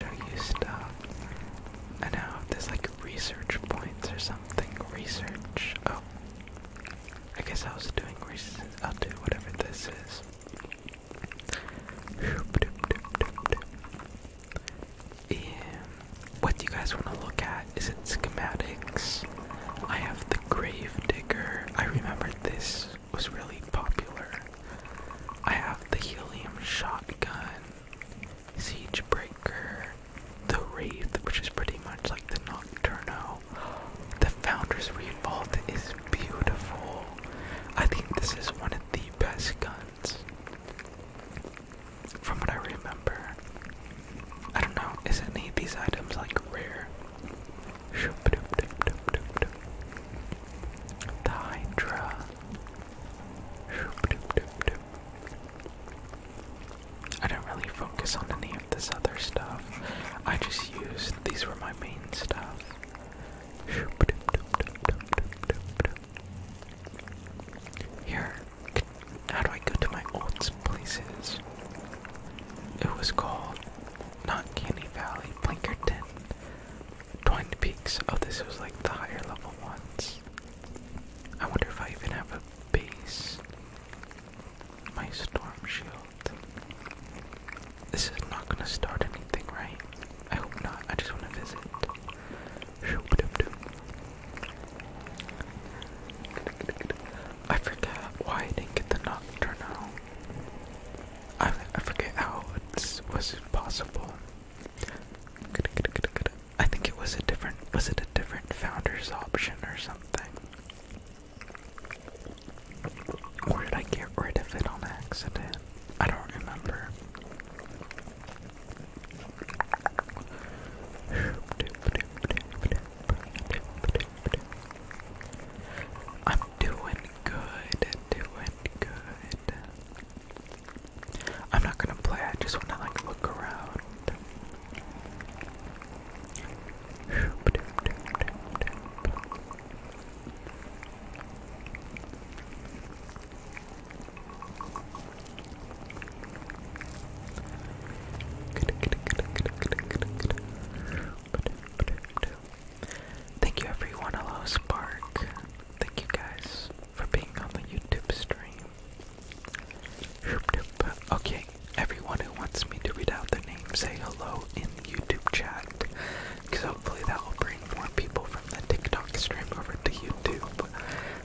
do you stop? I know there's like research points or something. Research. Oh, I guess I was doing research. I'll do whatever this is. Yeah. What do you guys want to look at? Is it schematics? I have the grave digger. I remember this was really popular. I have the helium shotgun. Siegebreaker, The Wraith, which is pretty much like the Nocturno. The Founders Revolt is beautiful. I think this is one of the best guns. From what I remember. I don't know, is any of these items like rare? The Hydra. I don't really focus on any of this other stuff. I just used these were my main stuff. Here, how do I go to my old places? It was called not Candy Valley, Blinkerton. Twinned Peaks. Oh, this was like the higher level ones. I wonder if I even have a base. My storm shield. This is not gonna start anything, right? I hope not. I just wanna visit. I forget why I didn't get the nocturne. I I forget how it was possible. I think it was a different was it a different founder's option or something? Or did I get rid of it on accident? I don't remember. I'm doing good, doing good. I'm not gonna play, I just wanna like look around. Thank you everyone, hello Spark. Thank you guys for being on the YouTube stream. Okay, everyone who wants me to read out their name, say hello in the YouTube chat. Because hopefully that will bring more people from the TikTok stream over to YouTube.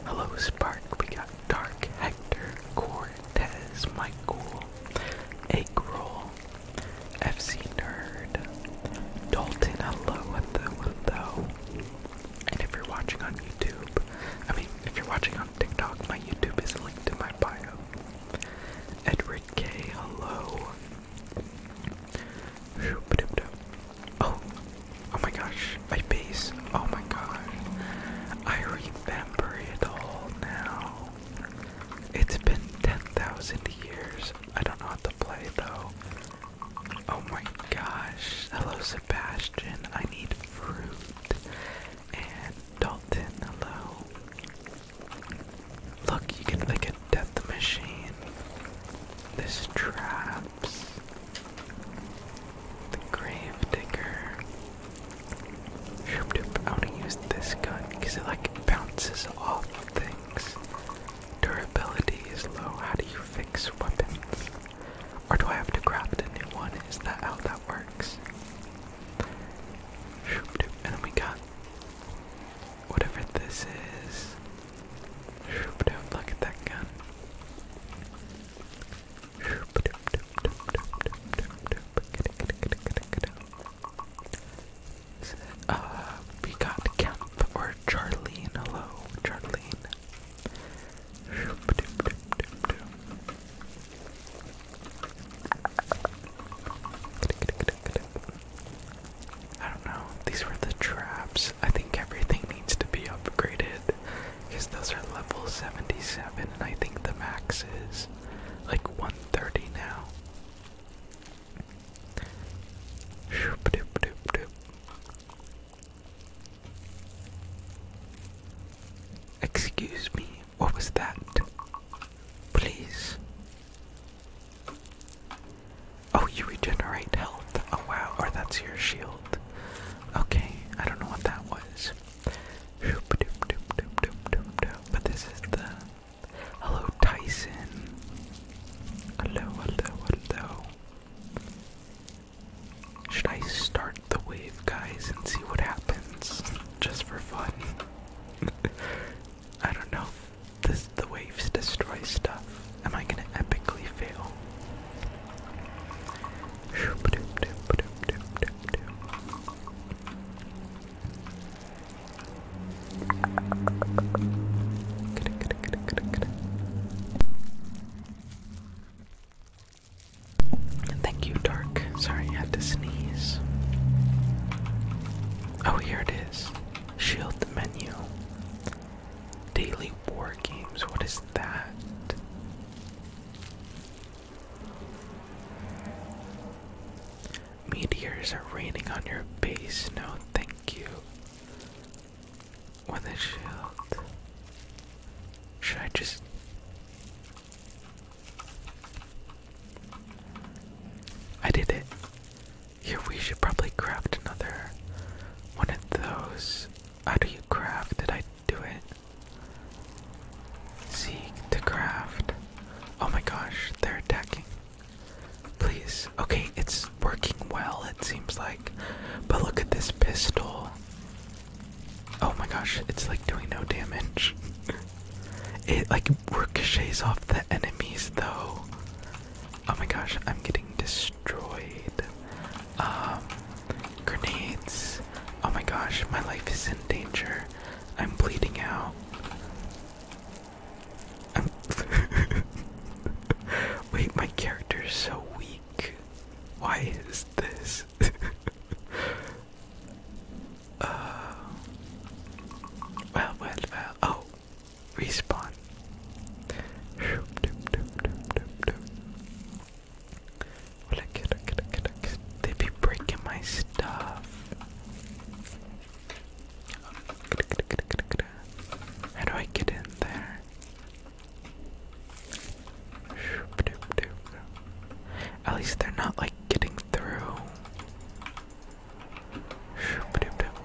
Hello, Spark. We got Dark Hector, Cortez, Michael, Egg Roll, FC Nerd, Dalton. Hello, hello, hello. And if you're watching on YouTube, I mean, if you're watching on TikTok, my YouTube is linked in my bio. Edward K. Hello. Oh, oh my gosh, my face. Oh my god! I remember it all now. It's been 10,000 years. I don't know how to play though. Oh my gosh. Hello, Sebastian. I need fruit. And Dalton, hello. Look, you can look at death machine. This traps. The grave digger. Shoop I want to use this gun because it like bounces off things. Durability is low. How do you fix weapons? Or do I have to craft a new one? Is that how that works? And we got whatever this is. Look at that gun. Uh, we got Kemp or Charlene. Hello, Charlene. I don't know. These were the traps. I think everything needs to be upgraded because those are level 77 and I think the max is like 130 now. Excuse me, what was that? Please. Oh, you regenerate health. Oh, wow, or oh, that's your shield. Okay, I don't know what that was. But this is the. Hello, Tyson. Hello, hello, hello. Should I start the wave, guys, and see what happens? Just for fun. I don't know. This the waves destroy stuff. Am I gonna epically fail? Thank you, Dark. Sorry, I had to sneeze. Oh, here it is. Shield the menu. Daily war games. What is that? Meteors are raining on your base. No, thank you with a shield. Should I just. I did it. Here, we should probably craft another one of those. How do you craft? Did I do it? Seek to craft. Oh my gosh, they're attacking. Please. Okay, it's working well, it seems like. But look at this pistol. Oh my gosh, it's like doing no damage. it like ricochets off the enemies though. Oh my gosh, I'm getting destroyed. Um, grenades. Oh my gosh, my life is in danger. I'm bleeding out. Wait, my character is so weak. Why is this? Uh, well, well, well. Oh, respawn. They be breaking my stuff. How do I get in there? At least they're not like getting through.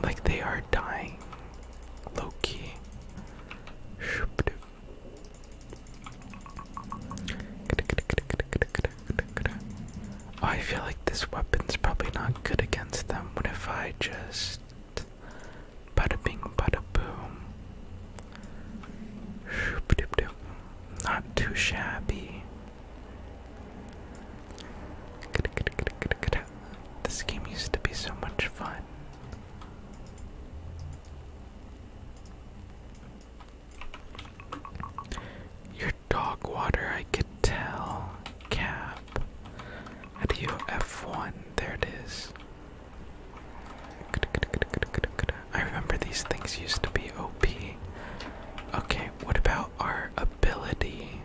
Like they are dying. Low key. Oh, I feel like this weapon's probably not good against them. What if I just. Bada bing, bada boom. Not too shabby. This game used to be so much fun. Your dog water, I could tell. Cap. How do F1? There it is. I remember these things used to be OP. Okay, what about our ability?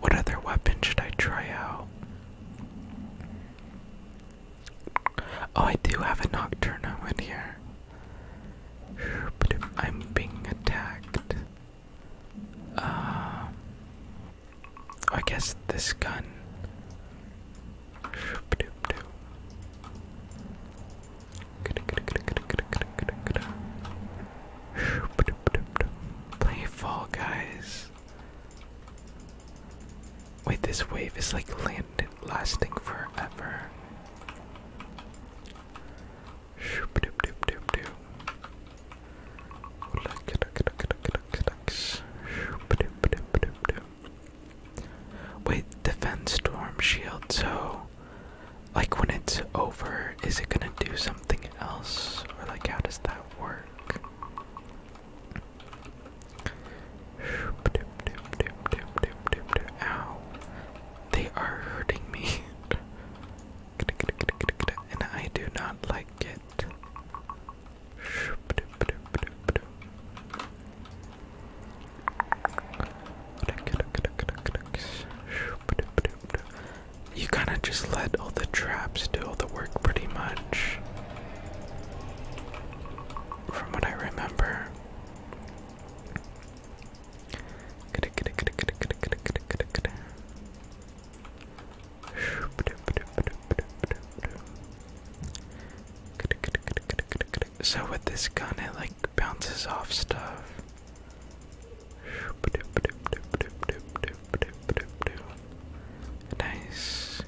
What other weapon should I try out? Oh, I do have a nocturno in here. I'm being attacked. Uh, I guess this gun. Play Fall Guys. Wait, this wave is like landed lasting forever. Wait, defense storm shield. So, like when it's over, is it gonna do something else, or like how does that work? Ow. They are hurting me. and I do not like it. You kind of just let all the traps do all the work pretty much. From what I remember. So with this gun, it like bounces off stuff. Nice.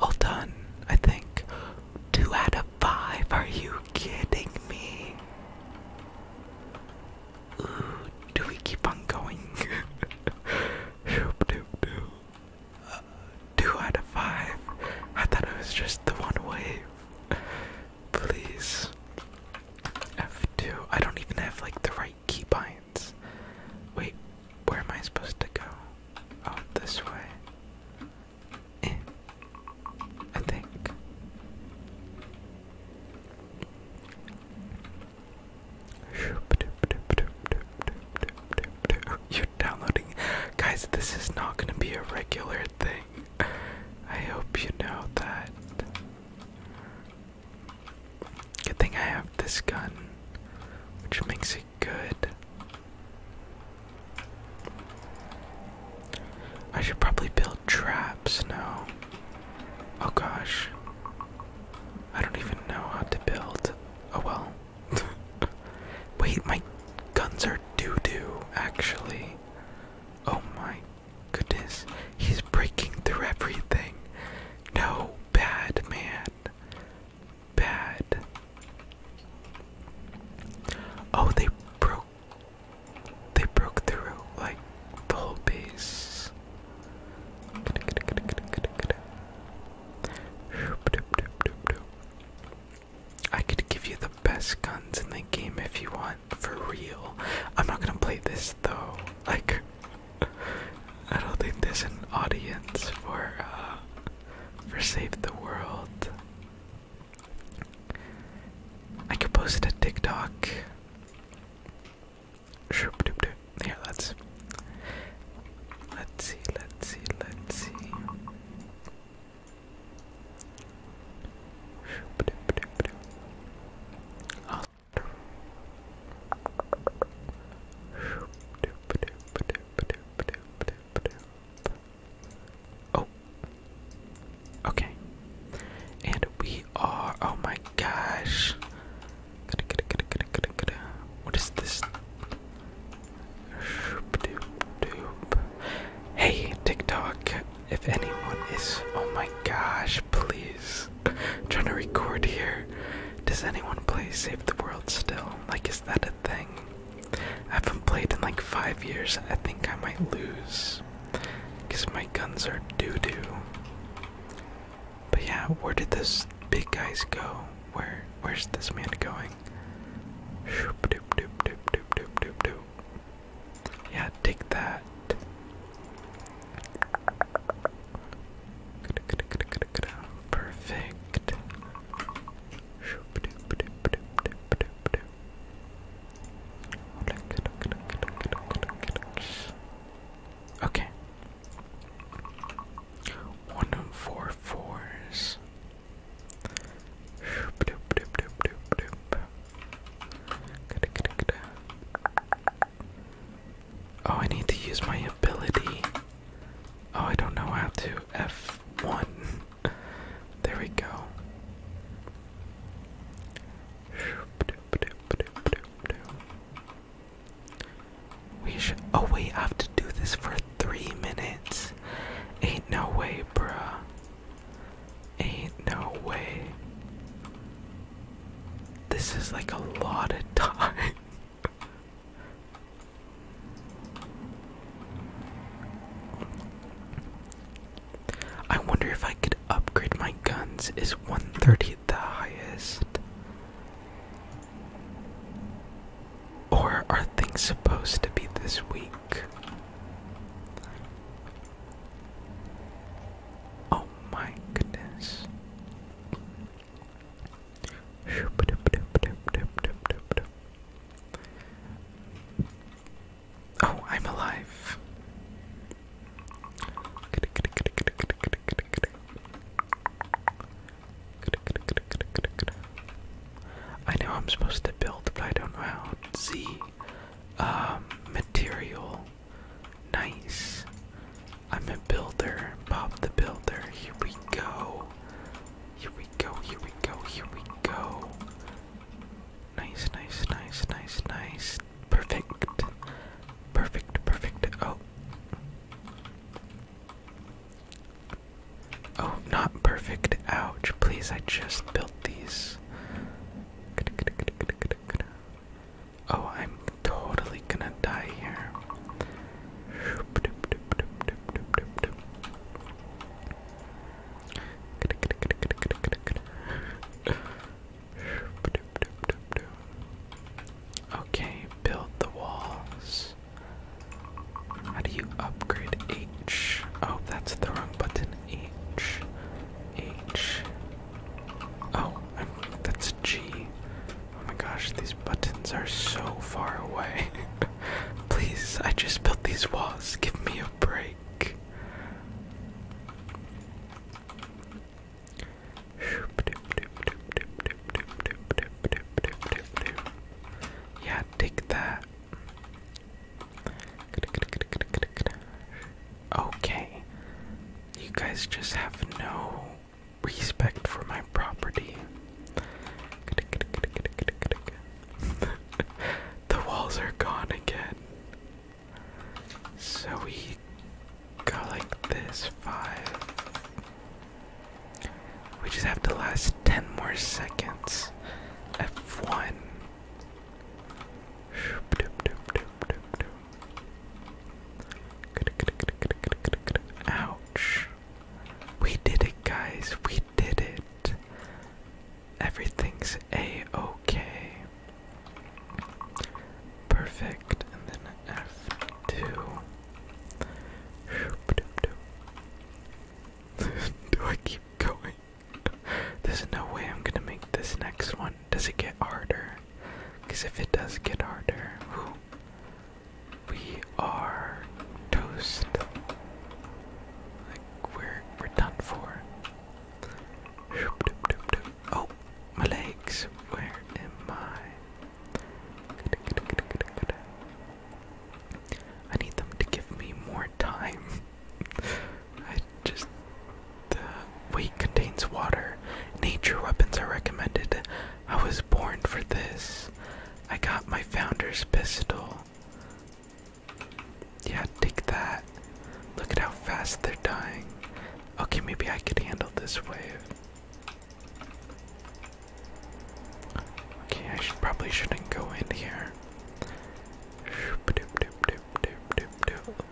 All done, I think. Two out five. Are you kidding me? do we keep on going? uh, two out of five. I thought it was just the one wave. Please. F2. I don't even have like the right keybinds. Wait, where am I supposed to go? Oh, this way. I think. You're downloading. Guys, this is not going to be a regular thing. I hope you know that. Good thing I have this gun, which makes it good. I should probably build traps now. Oh gosh. I don't even know how to build. Oh well. Wait, my guns are doo doo, actually. Oh my goodness. He's breaking through everything. No, bad man. Bad. Oh, they broke they broke through like the whole base. I could give you the best guns in the game if you want, for real. I'm not gonna play this though. Like, I don't think there's an audience for uh, for Save the World. I could post it to TikTok. Here, let's let's see, let's see, let's see. I'll Oh. Okay. And we are. Oh my gosh. What is this? Hey, TikTok. If anyone is. Oh my gosh, please. I'm trying to record here. Does anyone play Save the World still? Like, is that a thing? I haven't played in like five years. I think I might lose because my guns are doo doo. But yeah, where did those big guys go? Where where's this man going? Yeah, take that. Perfect. Okay. One four fours. Oh, I need to use my ability. Oh, I don't know how to. F one. there we go. We should. Oh wait, I have to do this for three minutes. Ain't no way, bruh. Ain't no way. This is like a lot of time. I wonder if I could upgrade my guns. Is 130 the highest? Or are things supposed to be this weak? Oh my goodness. Oh, I'm alive. I know I'm supposed to build, but I don't know how. Z, um, material. Nice. I'm a builder. Bob the Builder. Here we go. Here we go. Here we go. Here we go. Nice, nice, nice, nice, nice. Perfect. Perfect, perfect. Oh. Oh, not perfect. Ouch. Please, I just built these. Oh, I'm totally gonna die here. Okay, build the walls. How do you upgrade H? Oh, that's the wrong button. H. H. Oh, that's G. Oh my gosh, these buttons are so far away. Please, I just built these walls. Give me a break. Yeah, take that. Okay. You guys just have no respect for my property. the walls are gone again. So we go like this five. We just have to last ten more seconds. F1. Ouch. We did it, guys. We did it everything's a-okay. Perfect. And then F2. Do I keep going? There's no way I'm gonna make this next one. Does it get harder? Because if it does get harder, we are toast. Like we're we're done for. Oh, my legs. Where am I? I need them to give me more time. I just. The weight contains water. Nature weapons are recommended. I was born for this. I got my founder's pistol. Yeah, take that. Look at how fast they're dying. Okay, maybe I could handle this wave. Okay, I probably shouldn't go in here.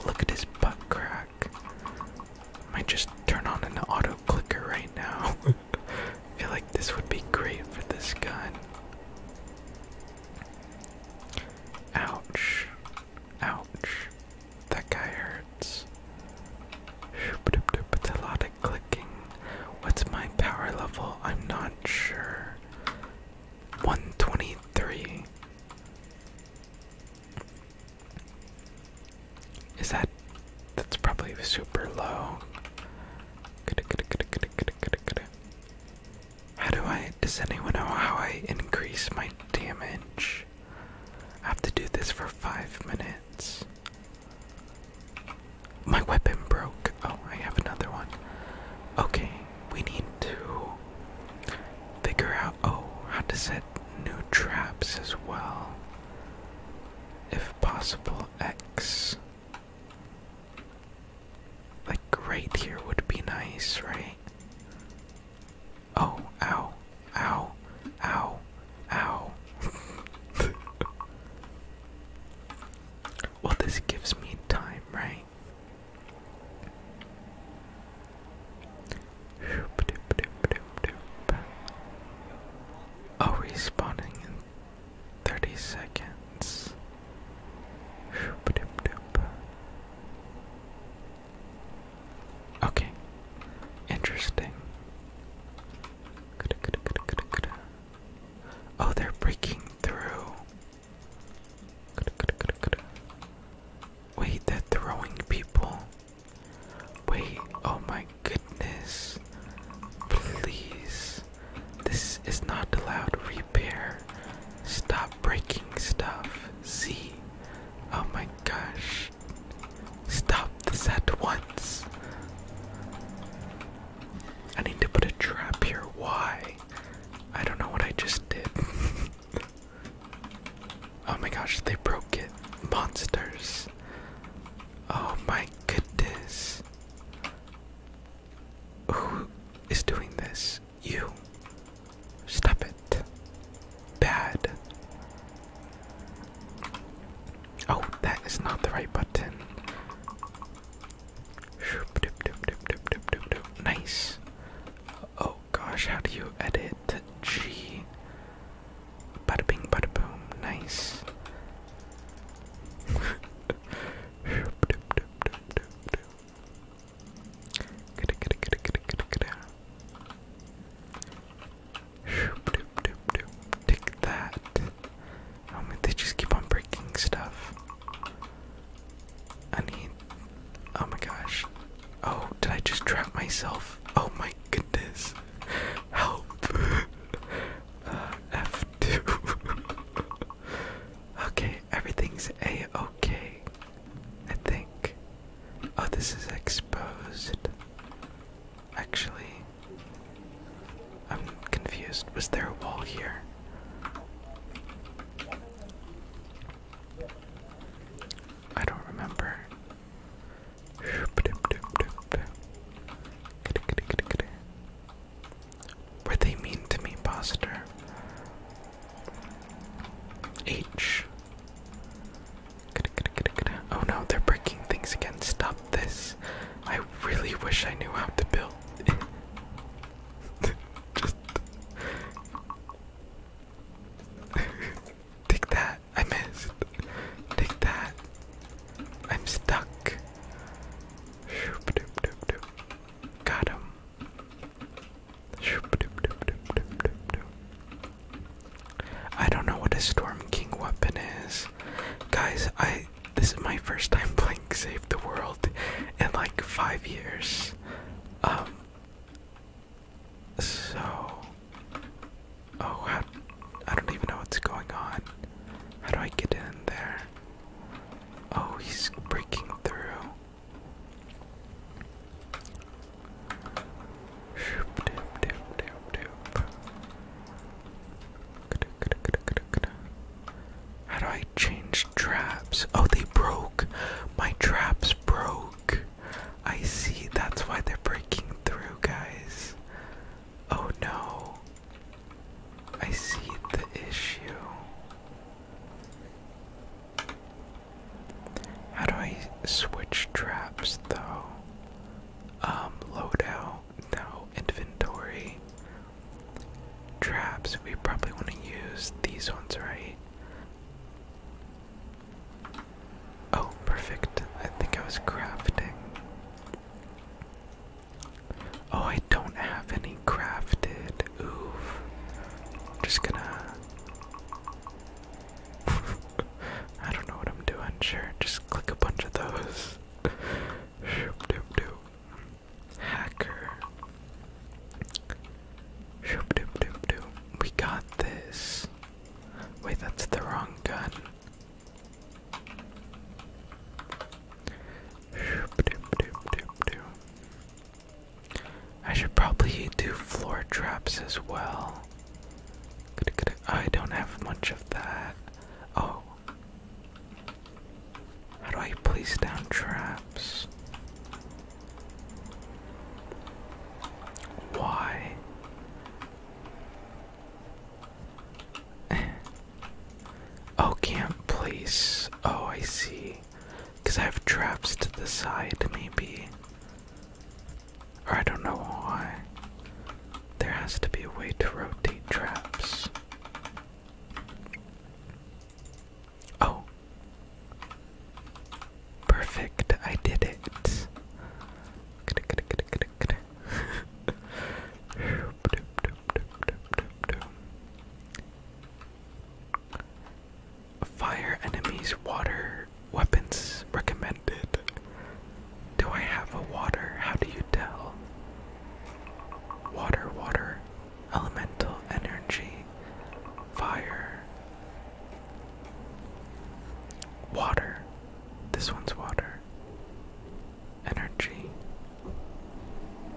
Look at his butt crack. Might just turn on an auto clicker right now. feel like this would be great for this gun. Ouch. Ouch. That guy hurts. It's a lot of clicking. What's my power level? I'm not sure. 123. Is that. That's probably super low. How do I. Does anyone know how I increase my damage? I have to do this for five minutes. My weapon broke. Oh, I have another one. Okay, we need to figure out. Oh, how to set new traps as well. If possible, X. Like right here would be nice, right? Oh, ow, ow, ow, ow. well, this gives me time, right? Oh, respawning in 30 seconds. Okay. Interesting. Oh, they're breaking through. Wait, they're throwing people. Wait, oh my goodness. Please. This is not allowed repair. Stop breaking stuff. See? Oh my gosh. Stop this at once. I need to put a trap here. Why? I don't know what I just did. oh my gosh, they broke it. Monsters. Oh my goodness. Who is doing this? you. Stop it. Bad. Oh, that is not the right button. Nice. Oh gosh, how do you edit G? Bada bing, bada boom. Nice. Take that. Oh man, they just keep on breaking stuff. I need. Oh my gosh. Oh, did I just trap myself? Oh my goodness. Help. Uh, F2. okay, Everything's a okay, I think. Oh, this is exposed. Actually, I'm confused. Was there a wall here? I don't remember. Were they mean to me, Poster? H. Oh no, they're breaking things again. Stop this. I really wish I knew how to build. Just. Take that. I missed. Take that. I'm stuck. Got him. I don't know what a Storm King weapon is. Guys, I this is my first time playing Save the World in like five years. Um so Oh I don't even know what's going on. How do I get in there? Oh he's breaking through. How do I change traps? Oh, they broke. My traps broke. I see. That's why they're breaking through, guys. Oh no. I see the issue. How do I switch traps though? Um, loadout, now inventory. Traps, we probably want to use these ones, right? Oh, perfect. I think I was crafting. Oh, I don't have any crafted oof. I'm just gonna. I don't know what I'm doing. Sure, just click a bunch of those. Shoop doop doop. Hacker. Shoop doop doop doop. We got this. Wait, that's the wrong gun. Shoop doop doop doop doop. I should probably do floor traps as well. I don't have much of that. Oh. How do I place down traps? Why? oh, can't place. Oh, I see. Because I have traps to the side, maybe. Or I don't know why. There has to be a way to rotate traps. Oh. Perfect, I did it. Fire enemies, water weapons recommended. Do I have a water? How do you tell? Water, water, elemental energy, fire, water. This one's water. Energy.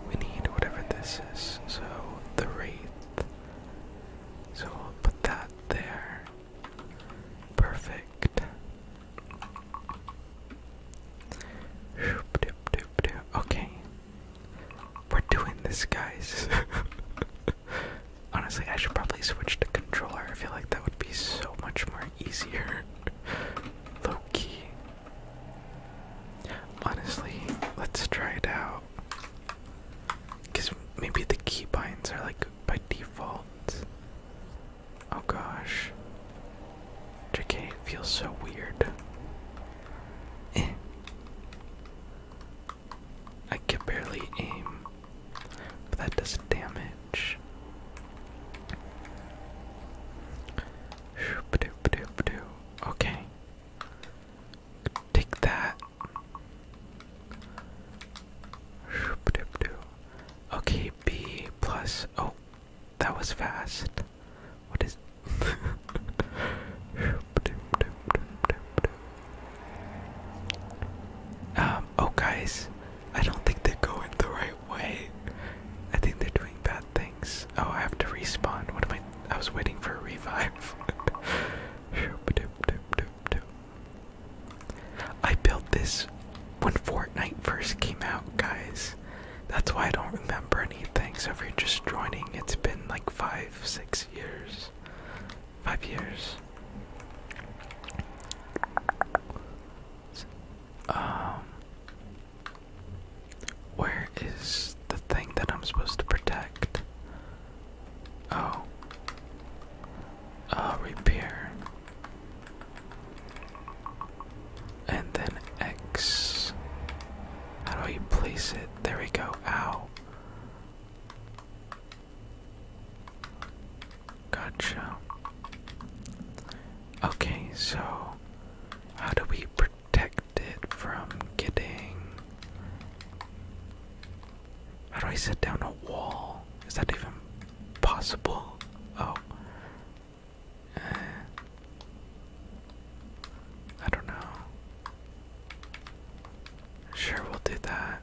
We need whatever this is. So the wraith. So we'll put that there. Perfect. Okay. We're doing this, guys. Honestly, I should probably switch to controller. I feel like that would be so much more easier. Low Honestly, let's try it out. Because maybe the binds are like by default. Oh gosh. JK, it feels so weird. Eh. I can barely aim, but that does damage. Okay. Take that. Okay, B plus. Oh, that was fast. What is. um, oh, guys, I don't think they're going the right way. I think they're doing bad things. Oh, I have to respawn. What am I? I was waiting for a revive. I built this when Fortnite first came out, guys. That's why I don't remember anything. So if you're just joining, it's been like five, six years. Five years. Um, where is the thing that I'm supposed to protect? Oh. Uh, repair. And then X. How do you place it? There we go. Ow. Gotcha. Okay, so how do we protect it from getting how do I set down a wall? Is that even possible? Oh. I don't know. Sure, we'll do that.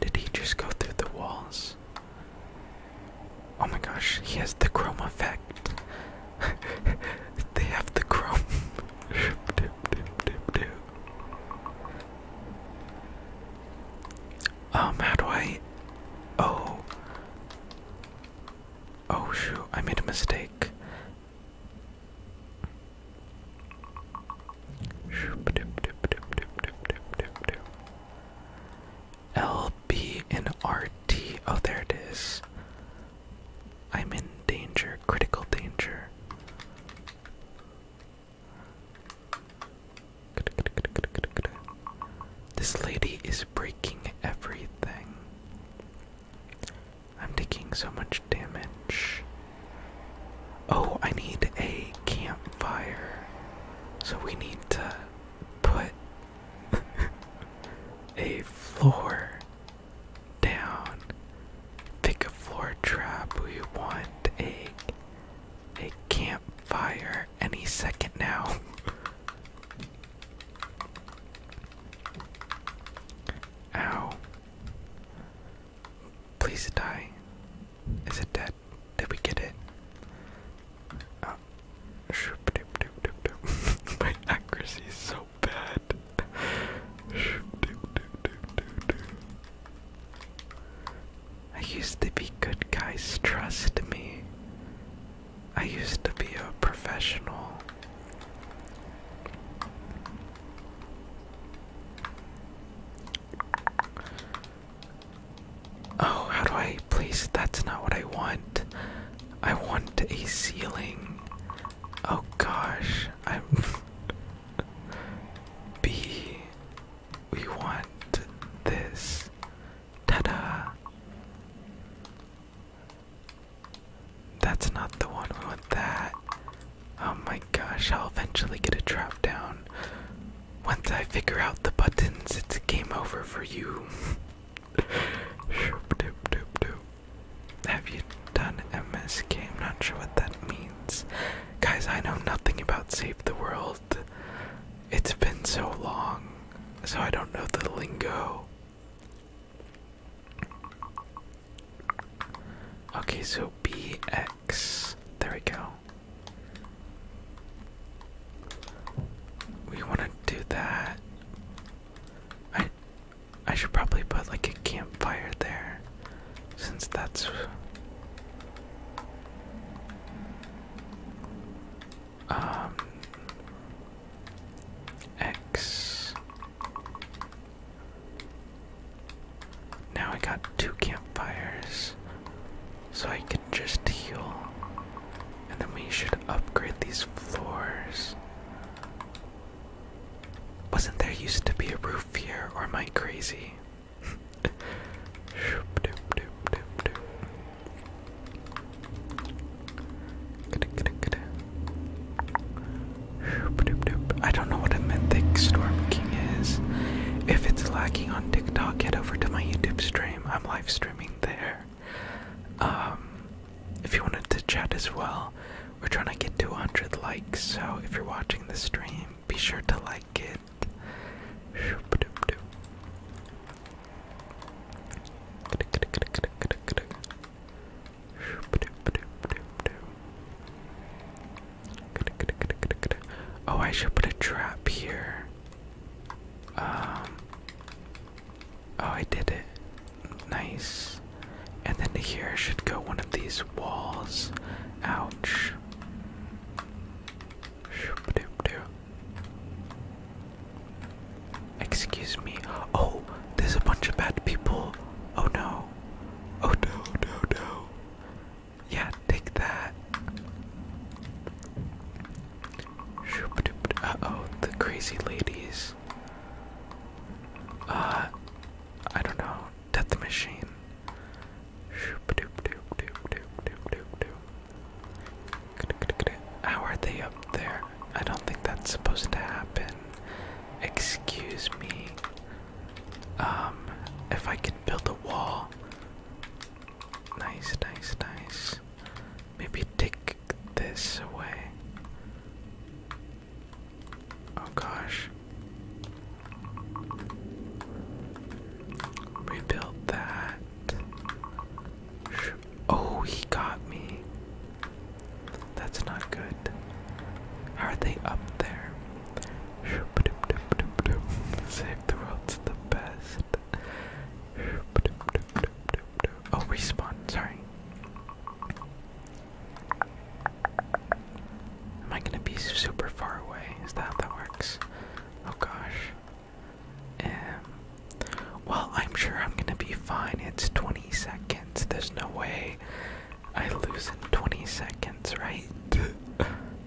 Did he just go through the walls? Oh my gosh, he has the chrome effect. they have the chrome. um, how do I. Oh. Oh shoot, I made a mistake. LB and RT. Oh, there it is. I'm in danger, critical danger. This lady is breaking everything. I'm taking so much damage. Oh, I need a campfire. So we need to put a floor down. Pick a floor trap. We want a a campfire any second now. Ow. Please die. Is it dead? Did we get it? Uh, my accuracy is so bad. I used to be good guys, trust me. I used to be a professional. Oh, how do I place That's not what I want. I want a ceiling. Oh gosh, I'm. B. We want this. Ta da! That's not the one. We want that. Oh my gosh, I'll eventually get a trap down. Once I figure out the buttons, it's game over for you. Have you done MSK? I'm not sure what that means. Guys, I know nothing about Save the World. It's been so long, so I don't know the lingo. Okay, so BX. There we go. We want to do that. I I should probably put like a campfire there since that's um X now I got two campfires, so I can just heal. And then we should upgrade these floors. Wasn't there used to be a roof here, or am I crazy? I don't know what a mythic storm king is. If it's lacking on TikTok, get over to my YouTube stream. I'm live streaming there. Um, if you wanted to chat as well, we're trying to get 200 likes. So if you're watching the stream, be sure to like it. Oh, I should put a trap here. Um. Oh, I did it. Nice. And then here should go one of these walls. Ouch. Excuse me. Oh, there's a bunch of bad people. Oh no. Oh no, no, no. Yeah, take that. Uh oh, the crazy ladies. Uh, I don't know. Death machine. How are they up there? I don't think that's supposed to happen. Excuse me. Um, if I could build a wall, Nice, nice, nice. Maybe take this away. Oh gosh. Rebuild that. Oh, he got me. That's not good. are they up there? Save the world's the best. Oh, respawn, sorry. Am I gonna be super far away? Is that how that works? Oh gosh. Um, well, I'm sure I'm gonna be fine. It's 20 seconds. There's no way I lose in 20 seconds, right?